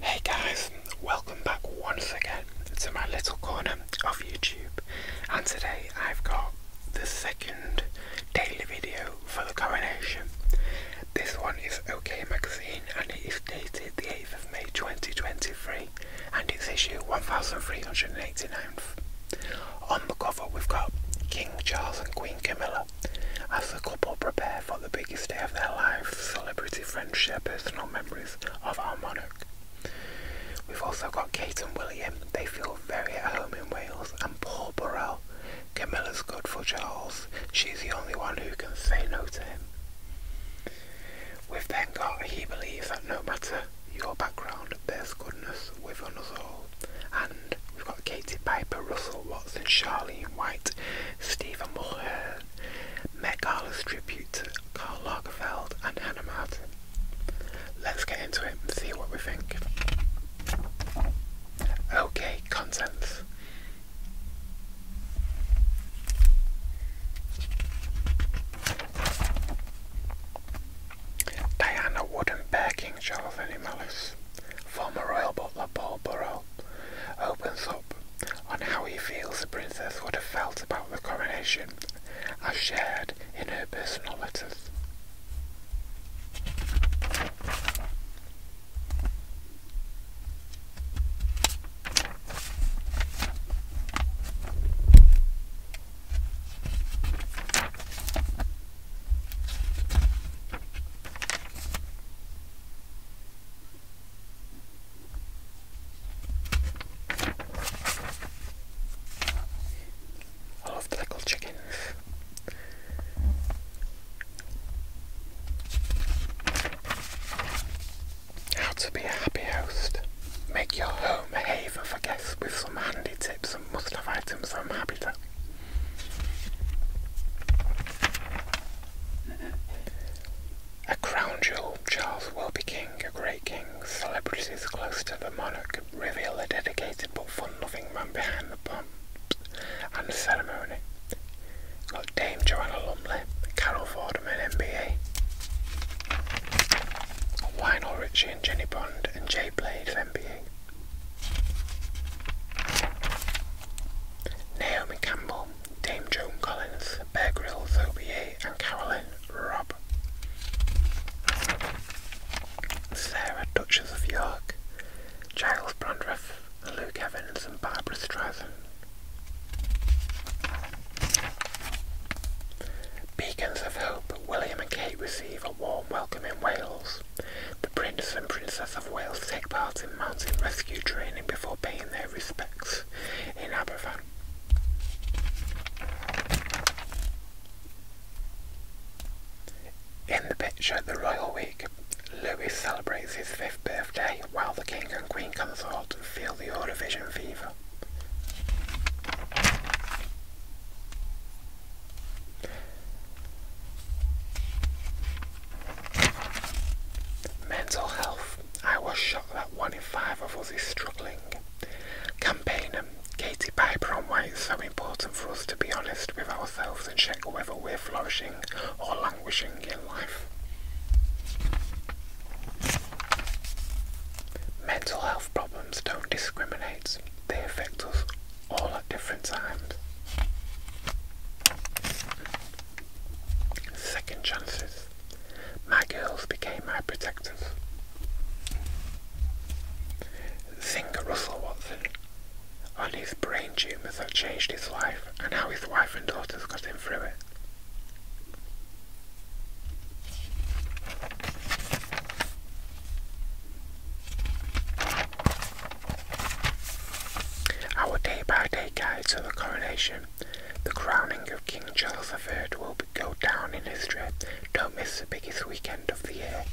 Hey guys, welcome back once again to my little corner of YouTube, and today I've got the second daily video for the coronation. This one is OK Magazine and it is dated the 8th of May 2023 and it's issue 1389. On the cover, we've got King Charles and Queen Camilla as the couple prepare for the biggest day of their lives. Celebrity friends share personal memories of our monarch. We've also got Kate and William. They feel very at home in Wales. And Paul Burrell. Camilla's good for Charles. She's the only one who can say no to him. We've then got He Believes That No Matter your background, there's goodness with on us all. And we've got Katie Piper, Russell Watson, Charlene White, Stephen Mulhern, Met Gala's tribute to Karl Lagerfeld and Hannah Martin. Let's get into it and see what we think. Okay, contents. Diana Wooden begging Charles Henry Mellis, former royal butler Paul Burrow, opens up on how he feels the princess would have felt about the coronation as shared in her personal letters. I love the little chicken. How to be a happy host. Make your home a haven for guests with some handy tips and must have items from Habitat. A crown jewel, Charles will be king, a great king. Celebrities close to the monarch reveal the dedicated but fun-loving man behind the pomp and ceremony. Got Dame Joanna Lumley, Carol Fordham and MBA. Lionel Richie and Jenny Bond and Jay Blade MBA. Naomi Campbell, Dame Joan Collins, Bear Grylls, OBA and Carolyn Rob, Sarah, Duchess of York, Giles Brandreth, Luke Evans and Barbara Streisand. Beacons of Hope, William and Kate receive a warm welcome in Wales. The Prince and Princess of Wales take part in mountain rescue training before paying their respects in Aberfan. In the picture at the Royal Week, Louis celebrates his fifth birthday while the King and Queen consort feel the Eurovision fever. Mental health. I was shocked that one in five of us is struggling. Campaigner Katie Piper on why it's so important for us to be honest with ourselves and check whether we're flourishing or Wishing in life. Mental health problems don't discriminate, they affect us all at different times. Second chances. My girls became my protectors. Singer Russell Watson on his brain tumours that changed his life and how his wife and daughters got him through it. Our day by day guide to the coronation, the crowning of King Charles III will go down in history. Don't miss the biggest weekend of the year.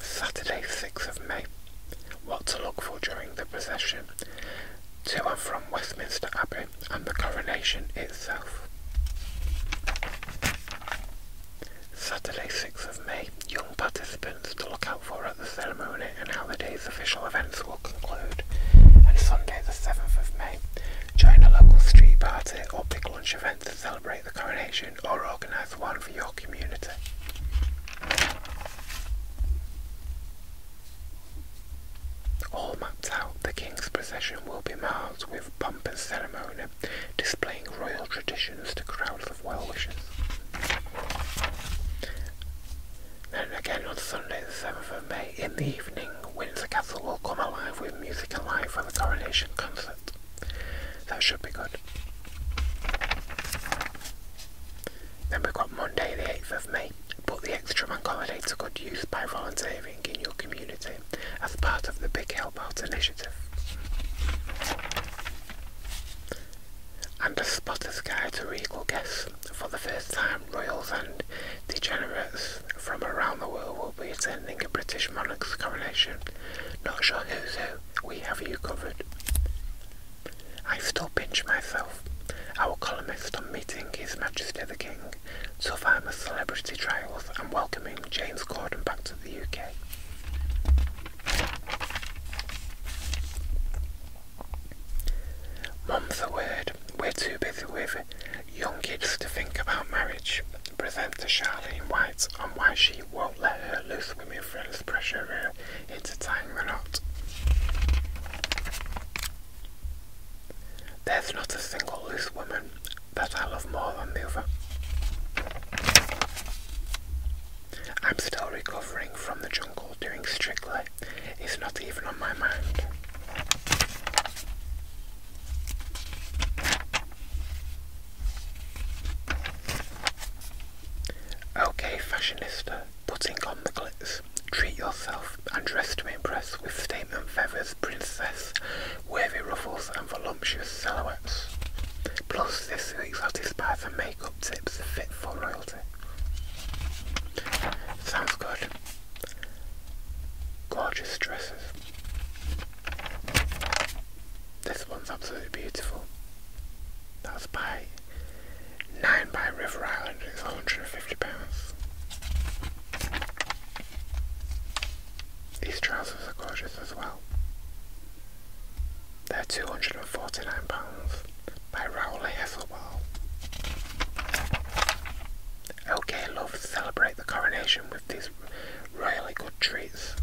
Saturday, 6th of May what to look for during the procession to and from Westminster Abbey and the coronation itself. Saturday 6th of May, young participants to look out for at the ceremony and how the day's official events will conclude. And Sunday the 7th of May, join a local street party or big lunch event to celebrate the coronation or organise one for your community. All mapped out, the king's procession will be marked with pomp and ceremony, displaying royal traditions to crowds of well-wishers. Then again on Sunday the 7th of May in the evening, Windsor Castle will come alive with music and light for the coronation concert. That should be good. Then we've got Monday the 8th of May. Put the extra money to good use by volunteering in your community as part of the Big Help Out initiative. And a spotter's guide to regal guests. For the first time, royals and degenerates from around the world will be attending a British monarch's coronation. Not sure who's who, we have you covered. I still pinch myself. Our columnist on meeting His Majesty the King, so far Survivor Celebrity Trials and welcoming James Corden back to the UK. Mum's the word. We're too busy with young kids to think about marriage. Presenter Charlene White on why she won't let her loose women friends pressure her uh, into tying the knot. There's not a single loose woman that I love more than the other. I'm still recovering from the jungle doing strictly. It's not even on my mind. Okay, fashionista, putting on the glitz. Treat yourself and dress to impress with statement feathers, princess, wavy ruffles, and voluptuous silhouettes. Plus, this week's hottest and makeup tips fit for royalty. Sounds good. Gorgeous dresses. This one's absolutely beautiful. That's by Nine by River Island. It's £150. These trousers are gorgeous as well. They're £249 by Rowley Hasselball. Okay, love, celebrate the coronation with these really good treats.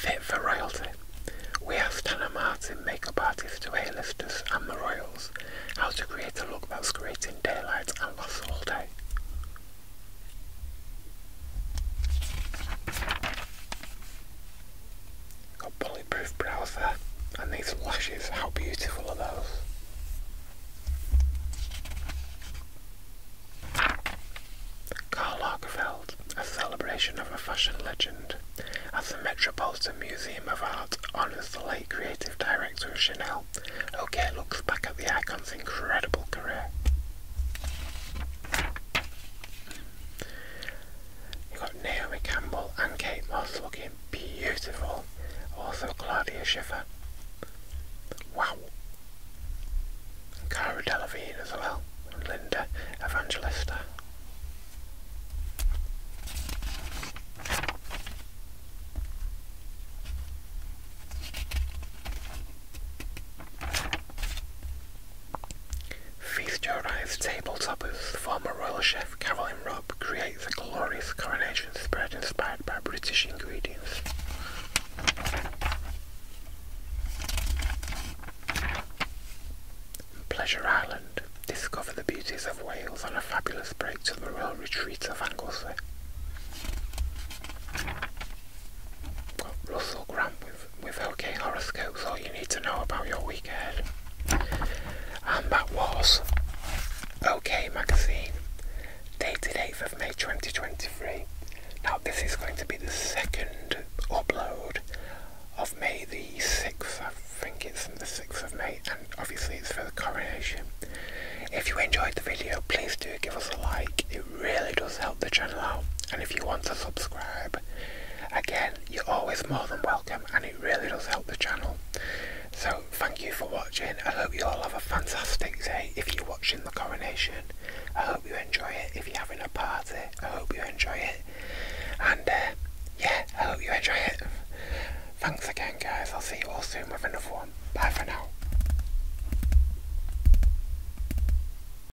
Fit for royalty. We asked Hannah Martin, makeup artist to A-listers and the royals, how to create a look that's great in daylight and lasts all day. Got bulletproof browser and these lashes, how beautiful are those? Karl Lagerfeld, a celebration of a fashion legend. At the Metropolitan Museum of Art honours the late creative director of Chanel, OK looks back at the icon's incredible career you got Naomi Campbell and Kate Moss looking beautiful. Also Claudia Schiffer. Wow. And Cara Delevingne as well. And Linda Evangelista. Feature-arrived table toppers, former royal chef Carolyn Robb creates a glorious coronation spread inspired by British ingredients. Pleasure Island. Discover the beauties of Wales on a fabulous break to the royal retreat of Anglesey. Russell Grant with OK Horoscopes, all you need to know about your week ahead. And that was OK Magazine, dated 8th of May 2023. Now, this is going to be the second upload of May the 6th, I think it's the 6th of May, and obviously it's for the coronation. If you enjoyed the video, please do give us a like, it really does help the channel out, and if you want to subscribe, Again, you're always more than welcome and it really does help the channel. So thank you for watching. I hope you all have a fantastic day if you're watching the coronation. I hope you enjoy it. If you're having a party, I hope you enjoy it. And uh, yeah, I hope you enjoy it. Thanks again guys. I'll see you all soon with another one. Bye for now.